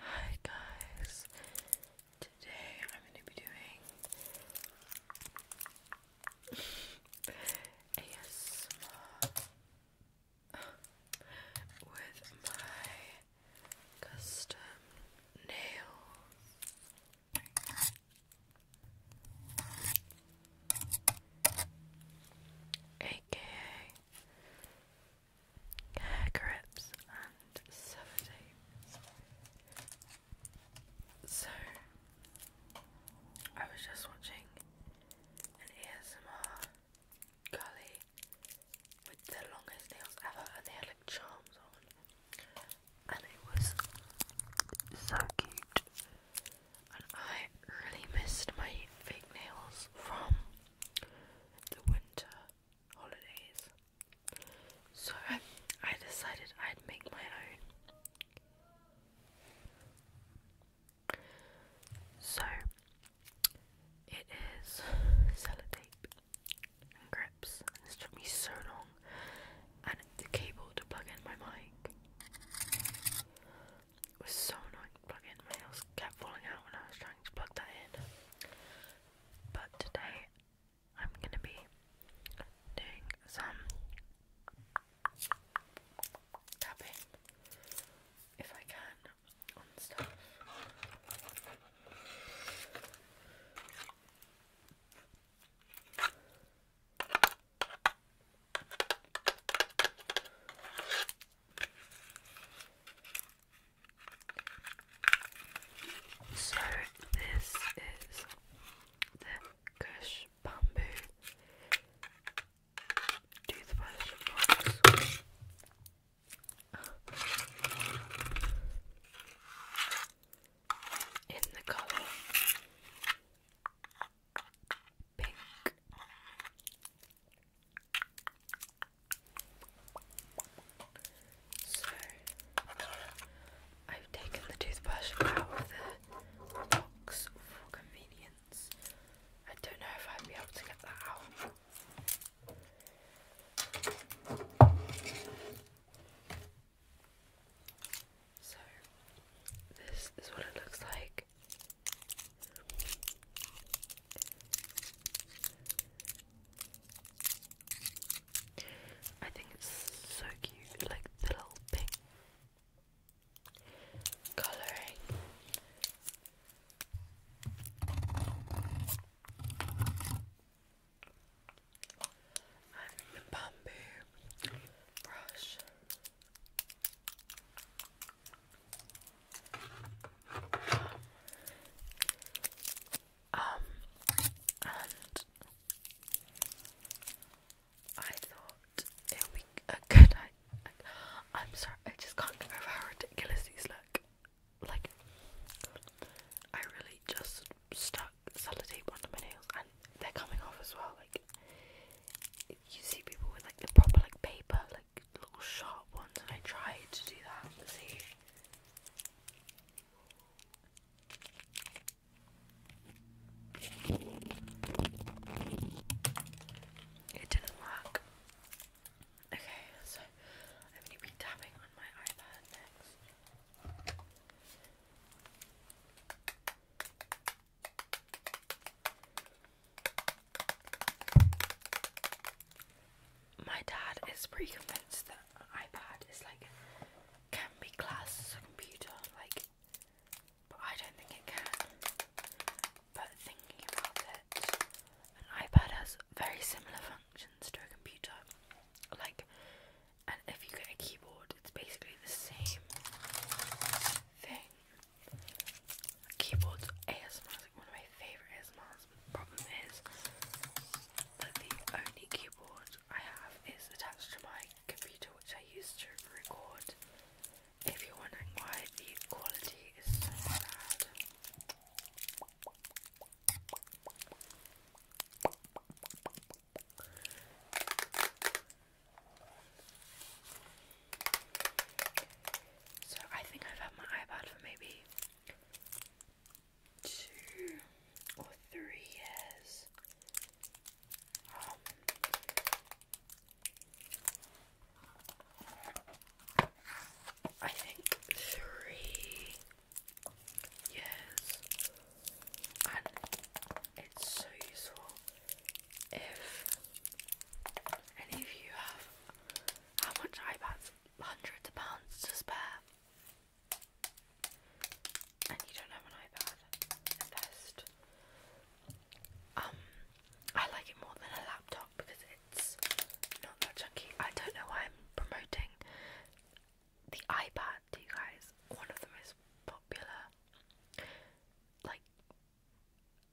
Hi guys, today I'm going to be doing ASMR with my custom nails. AKA hair grips and sellotape. So I was just watching an ASMR gully with the longest nails ever and they had like charms on and it was so cute and I really missed my fake nails from the winter holidays. So I decided I'd make my own. So it is sellotape and grips. this took me so long. And the cable to plug in my mic. It was so annoying to plug in. My nails kept falling out when I was trying to plug that in. But today I'm gonna be doing some tapping if I can so this is the Kush Bamboo toothbrush box. In the colour so I've taken the toothbrush out of the box for convenience. I don't know if I'd be able to get that out. So, this is what it looks like. I think it's so cute, like the little pink colouring. And the bamboo brush. Um, and I thought it would be a good idea. I'm sorry, I just can't get over how ridiculous these look. Like, I really just stuck sellotape under my nails and they're coming off as well. Like, you see people with like the proper like paper, like little sharp ones, and I tried to do that. see. It didn't work. Okay, so I'm going to be tapping on my iPad next. My dad is pretty convinced that iPad is like can be classed as a computer, like but I don't think it can. But thinking about it, an iPad has very similar functions to a computer. Like and if you get a keyboard it's basically the same thing. Keyboards ASMR like one of my favourite ASMRs. Problem is that the only keyboard I have is attached to my computer, which I use to record. If you're wondering why the quality is so bad. So I think I've had my iPad for maybe two or three years. Um, I think three years and it's so useful if any of you have how much iPads? Hundreds of pounds to spare, and you don't have an iPad. Invest. Um, I like it more than a laptop because it's not that chunky. I don't know why I'm promoting the iPad add you guys. One of the most popular, like,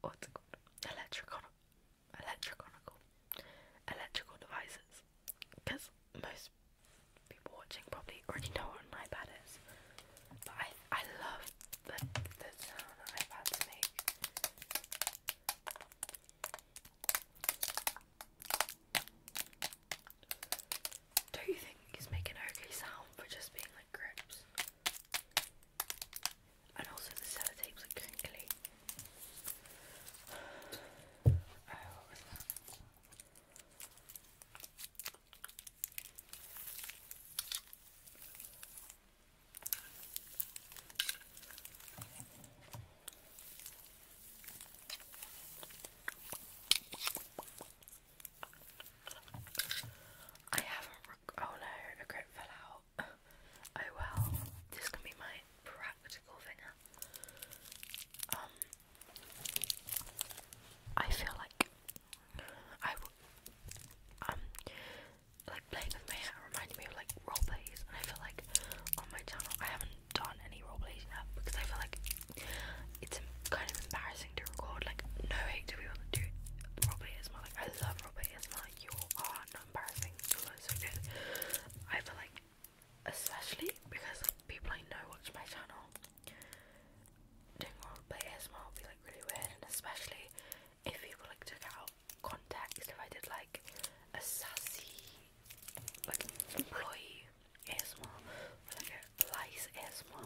what's it called? Electricon electriconical, electrical devices. Because most people watching probably already know what an iPad is. But I, I love the, the sound that iPads make do you think he's making an okay sound for just being like grips? And also the sellotape's like crinkly. Oh, I haven't. Oh no, a grip fell out. Oh well, this can be my practical finger. Um, I feel like I um like playing with my hair reminded me of like role plays, and I feel like on my channel I haven't done any role plays yet because I feel like it's kind of embarrassing to record. Like, no hate to people that do I love Robert ASMR. Like, you are not embarrassing. You're like, I feel like, especially because like people I know watch my channel, doing Robert ASMR would be like really weird, and especially if people like took out context. If I did like a sassy, like employee ASMR, or lice asthma.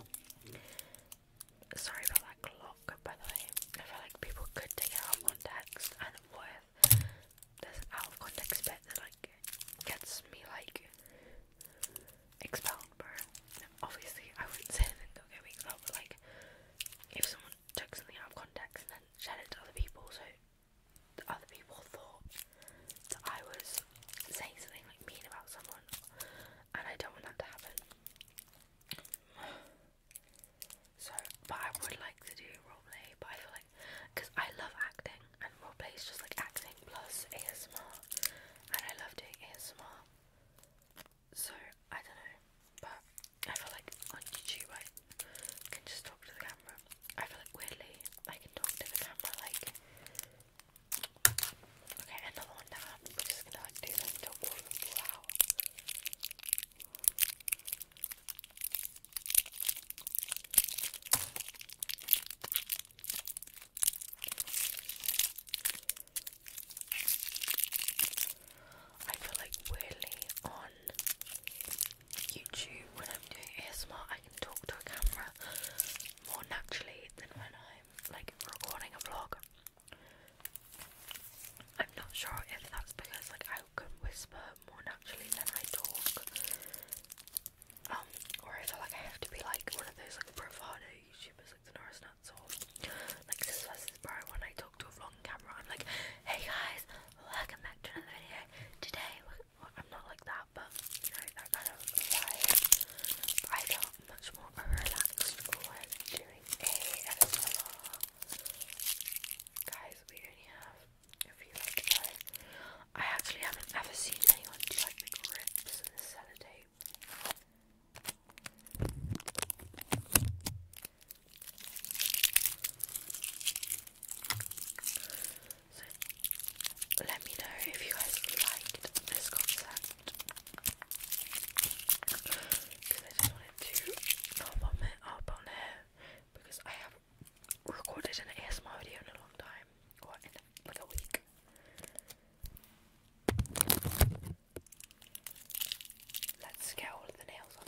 Sorry about that clock, by the way. I feel like people could take out context, and what if out of context bit that like gets me like expelled, bro? Obviously, I wouldn't say anything don't get expelled, but like if someone took something out of context and then shared it to other people, so other people thought that I was saying something like mean about someone, and I don't want that to happen. So, but I would like to do roleplay, but I feel like because I love acting, and roleplay is just like acting plus ASMR, and I love doing ASMR. So I don't know, but I feel like on YouTube I can just talk to the camera. I feel like weirdly I can talk to the camera like Okay, another one now. We're just gonna like do this until I feel like weirdly on YouTube when I'm doing ASMR I can talk to a camera more naturally than when I'm like recording a vlog. I'm not sure if that's because like I can whisper more naturally than I talk. Um, or I feel like I have to be like one of those like bravado YouTubers like the Norris Nuts or like this versus Bro when I talk to a vlog camera I'm like, hey guys, welcome back to another video. Today I'm not like that, but you know, that kind of vibe. I felt much more relaxed doing ASMR. Guys, we only have a few left I actually haven't ever seen anyone do like the grips and the sellotape. So let me know if you guys liked this concept. Because I just wanted to not vomit up on here because I have recorded an ASMR video in a long time. Or in a week. Let's get all the nails on.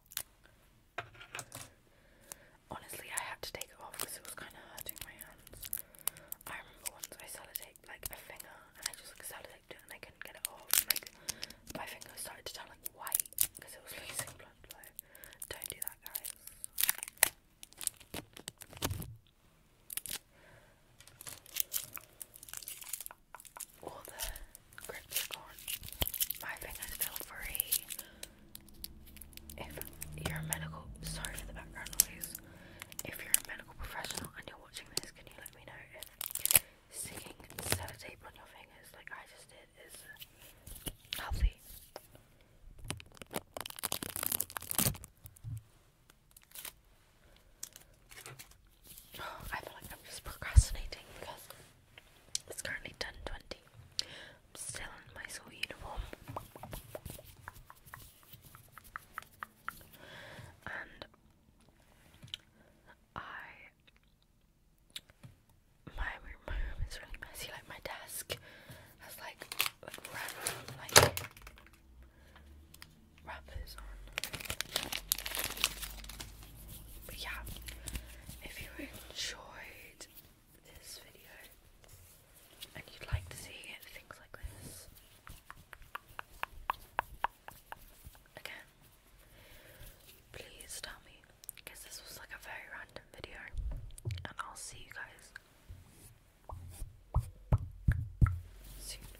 Honestly, I had to take it off because it was kind of hurting my hands. I remember once I sellotaped like a finger and I just like, sellotaped it and I couldn't get it off. like my finger started to turn like white because it was losing blood flow. Don't do that, guys all the grips are gone. My fingers feel free. If you're a medical, sorry for the background noise. If you're a medical professional and you're watching this, can you let me know if singing sellotape on your fingers, like I just did, is healthy? I feel like I'm just procrastinating because it's currently 10:20. I'm still in my school uniform. And I my my room is really messy, like my desk has like like random like wrappers on. yeah, if you enjoyed this video and you'd like to see things like this again, please tell me because this was like a very random video, and I'll see you guys soon.